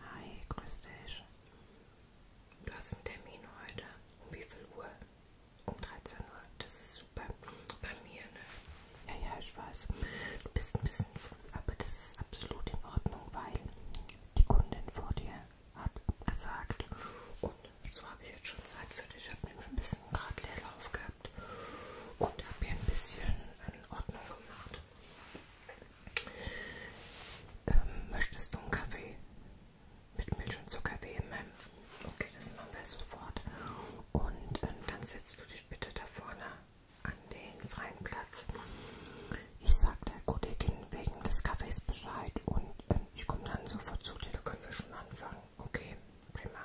Hi, grüß dich. Du hast einen Termin heute. Um wie viel Uhr? Um 13 Uhr. Das ist super. Bei mir, ne? Ja, ja, ich weiß. Du bist ein bisschen früh, aber das ist absolut in Ordnung, weil die Kundin vor dir hat gesagt. Und so habe ich jetzt schon Zeit für dich. Ich habe nämlich ein bisschen gerade Leerlauf gehabt gehabt und habe hier ein bisschen in Ordnung gemacht. Ähm, möchtest du einen Kaffee mit Milch und Zucker weben? Okay, das machen wir sofort. Und ähm, dann setzt du dich bitte da vorne an den freien Platz. Ich sage der Kollegin wegen des Kaffees Bescheid und ähm, ich komme dann sofort zu dir. Da können wir schon anfangen. Okay, prima.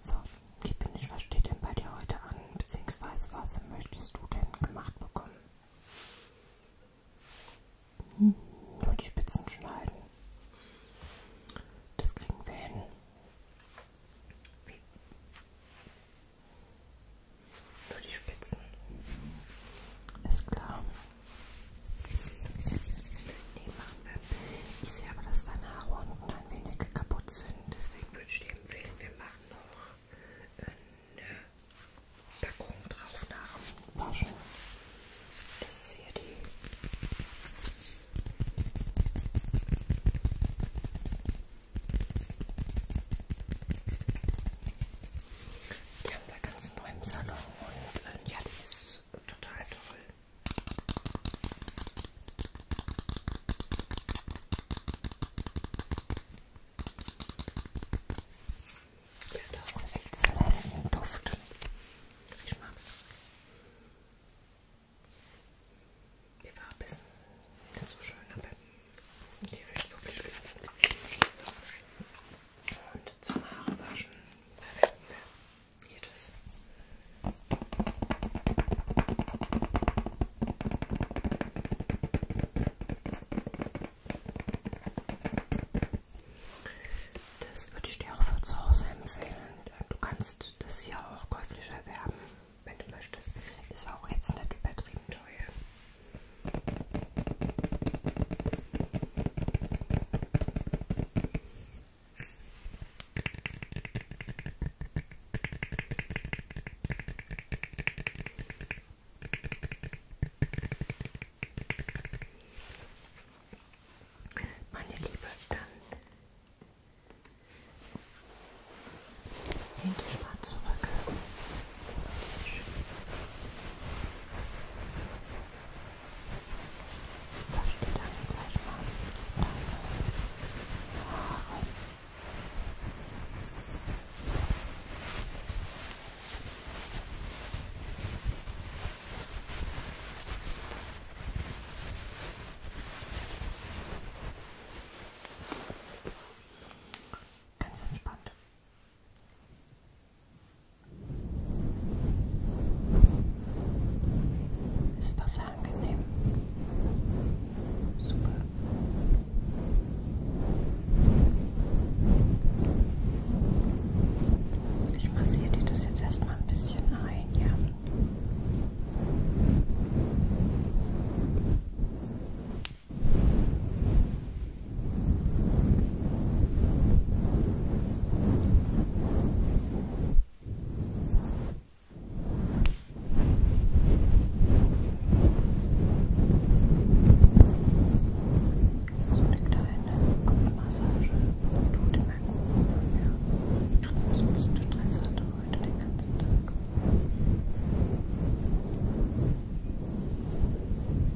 So, ich bin nicht, was steht denn bei dir heute an, beziehungsweise was möchtest du denn gemacht bekommen? Hm, nur die Spitzen schneiden. Das kriegen wir hin. Wie, nur die Spitzen. Ist klar. Nee, machen wir. Ich sehe aber, dass deine Haare unten ein wenig kaputt sind. Deswegen würde ich dir empfehlen, wir machen noch eine Packung drauf nach Waschen. Das ist hier die. Die haben da ganz neu im Salon und äh, ja, die ist total toll. Ja, da auch einen exzellenten Duft. Ich mag es. Die Farbe ist nicht so schön, aber die riecht wirklich spitze. So. Und zum Haarewaschen verwenden wir hier das. Das würde ich dir auch für zu Hause empfehlen. Du kannst das hier auch käuflich erwerben, wenn du möchtest. Ist auch jetzt nicht übertrieben teuer. Meine Liebe, dann den Thema zurück. Das steht dann gleich mal deine Haare. Ganz entspannt. Ist das angenehm? Super. Ich massiere dir das jetzt erstmal ein bisschen ein, ja. Kopfmassage tut immer gut. Ja. Ich ein bisschen Stress hatte heute den ganzen Tag.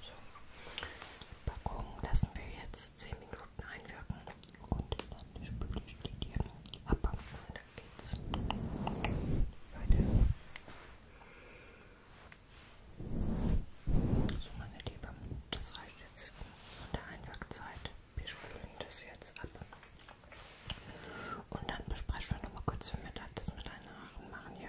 So, die Packung lassen wir jetzt 10 Minuten einwirken und dann spüle ich die dir ab und dann geht's weiter. So meine Liebe, das reicht jetzt von der Einwirkzeit. Wir spülen das jetzt ab. Und dann besprechen wir nochmal kurz, wenn wir das mit deinen Haaren machen, ja.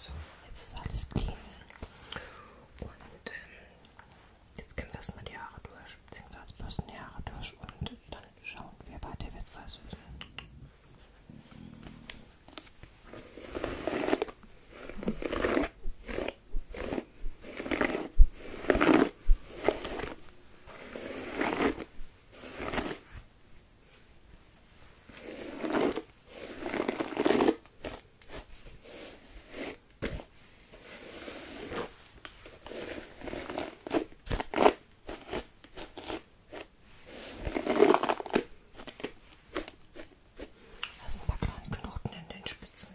So, jetzt ist alles clean. Und ähm, jetzt können wir erstmal die Haare durch, beziehungsweise bürsten die Haare durch und dann schauen wir weiter, wer jetzt weiß wissen. So, da sind ein paar kleine Knoten in den Spitzen.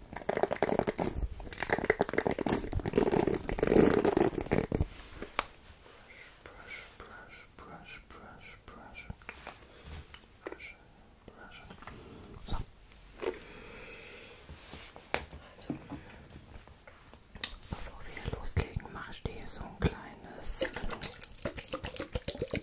brush, brush, brush, brush, brush. Brush, brush. So. Also, bevor wir loslegen, mache ich dir hier so ein kleines. Tui, tui,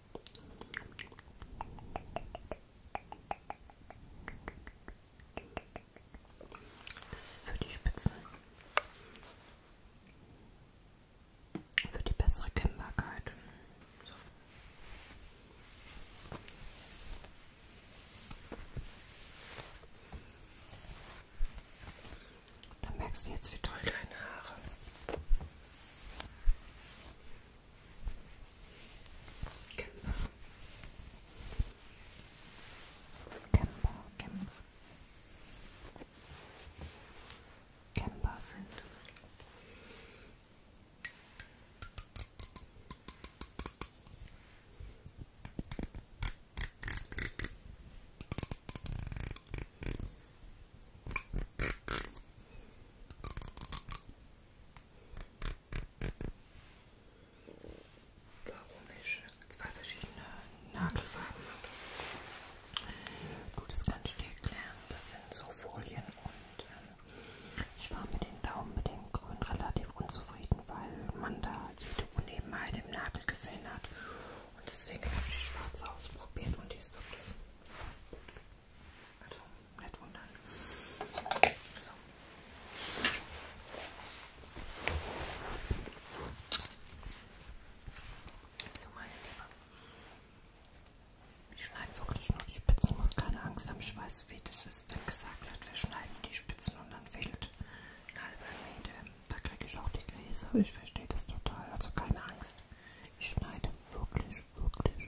Das ist für die Spitzen. Für die bessere Kennbarkeit. So. Da merkst du jetzt, wie toll deine Haare Genau. Camper, Camper. Camper sind. Warum ich zwei verschiedene Nagelfarben habe. Gut, das kann ich dir erklären. Das sind so Folien und ähm, ich war mit den Daumen, mit dem Grün relativ unzufrieden, weil man da jede Unebenheit im Nagel gesehen hat. Und deswegen habe ich die schwarze ausprobiert und die ist wirklich gut. Also, nicht wundern. So. So, meine Liebe. Ich schneide wirklich nur die Spitzen, muss keine Angst haben, ich weiß, wie das ist, wenn gesagt wird, wir schneiden die Spitzen und dann fehlt ein halber Meter. Da kriege ich auch die Gläser, ich verstehe das total, also keine Angst. Ich schneide wirklich, wirklich,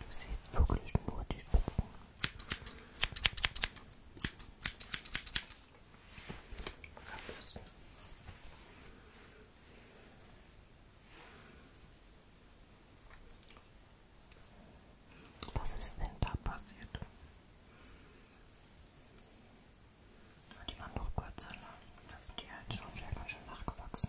Du siehst wirklich nur die Spitzen. Abbüsten. Was ist denn da passiert? Aber die waren doch kurz so lang, dass die halt schon wieder ganz schön nachgewachsen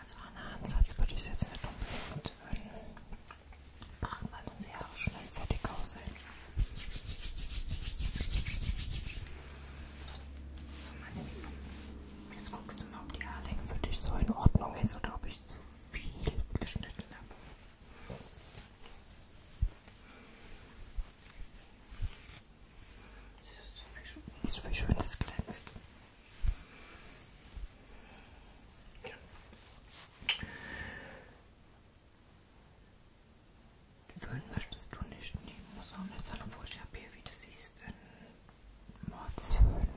Also Hannah Ansatz würde ich es jetzt nicht unbedingt weil unsere Haare schnell fertig aussehen. So, meine Lieben, jetzt guckst du mal, ob die Haarlänge für dich so in Ordnung ist oder ob ich zu viel geschnitten habe. Siehst du, wie schön das glänzt? Ja. Föhn möchtest du nicht? Nee, muss auch nicht sein, obwohl ich habe hier, wie du siehst, in Mordshöhen.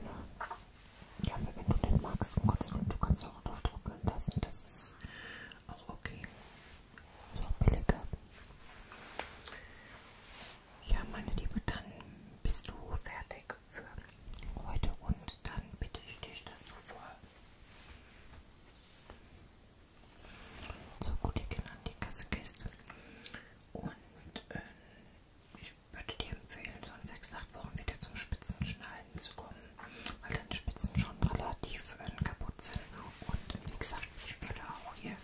Ja, wenn du den magst, um Gottes Willen, du kannst auch drauf trocknen lassen, das ist auch okay. Ist auch billiger. Ja, meine Liebe, dann bist du fertig für heute und dann bitte ich dich, dass du vor. So gut, ich an die Kassekiste. Und äh, ich würde dir empfehlen, so in 6, 8 Wochen wieder zum Spitzenschneiden zu kommen, weil deine Spitzen schon relativ äh, kaputt sind. Und äh, wie gesagt, ich würde auch hier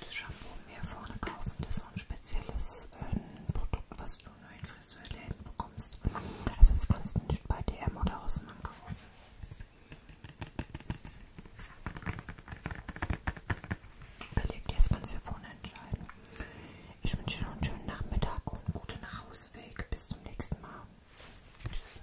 das Shampoo mir vorne kaufen, das ist auch ein spezielles äh, Produkt, was du nur in Friseurläden bekommst. Also das kannst du nicht bei DM oder Rossmann kaufen. Überleg dir das Ganze vorne entscheiden. Ich wünsche dir noch einen schönen Nachmittag und einen guten Nachhauseweg. Bis zum nächsten Mal. Tschüss.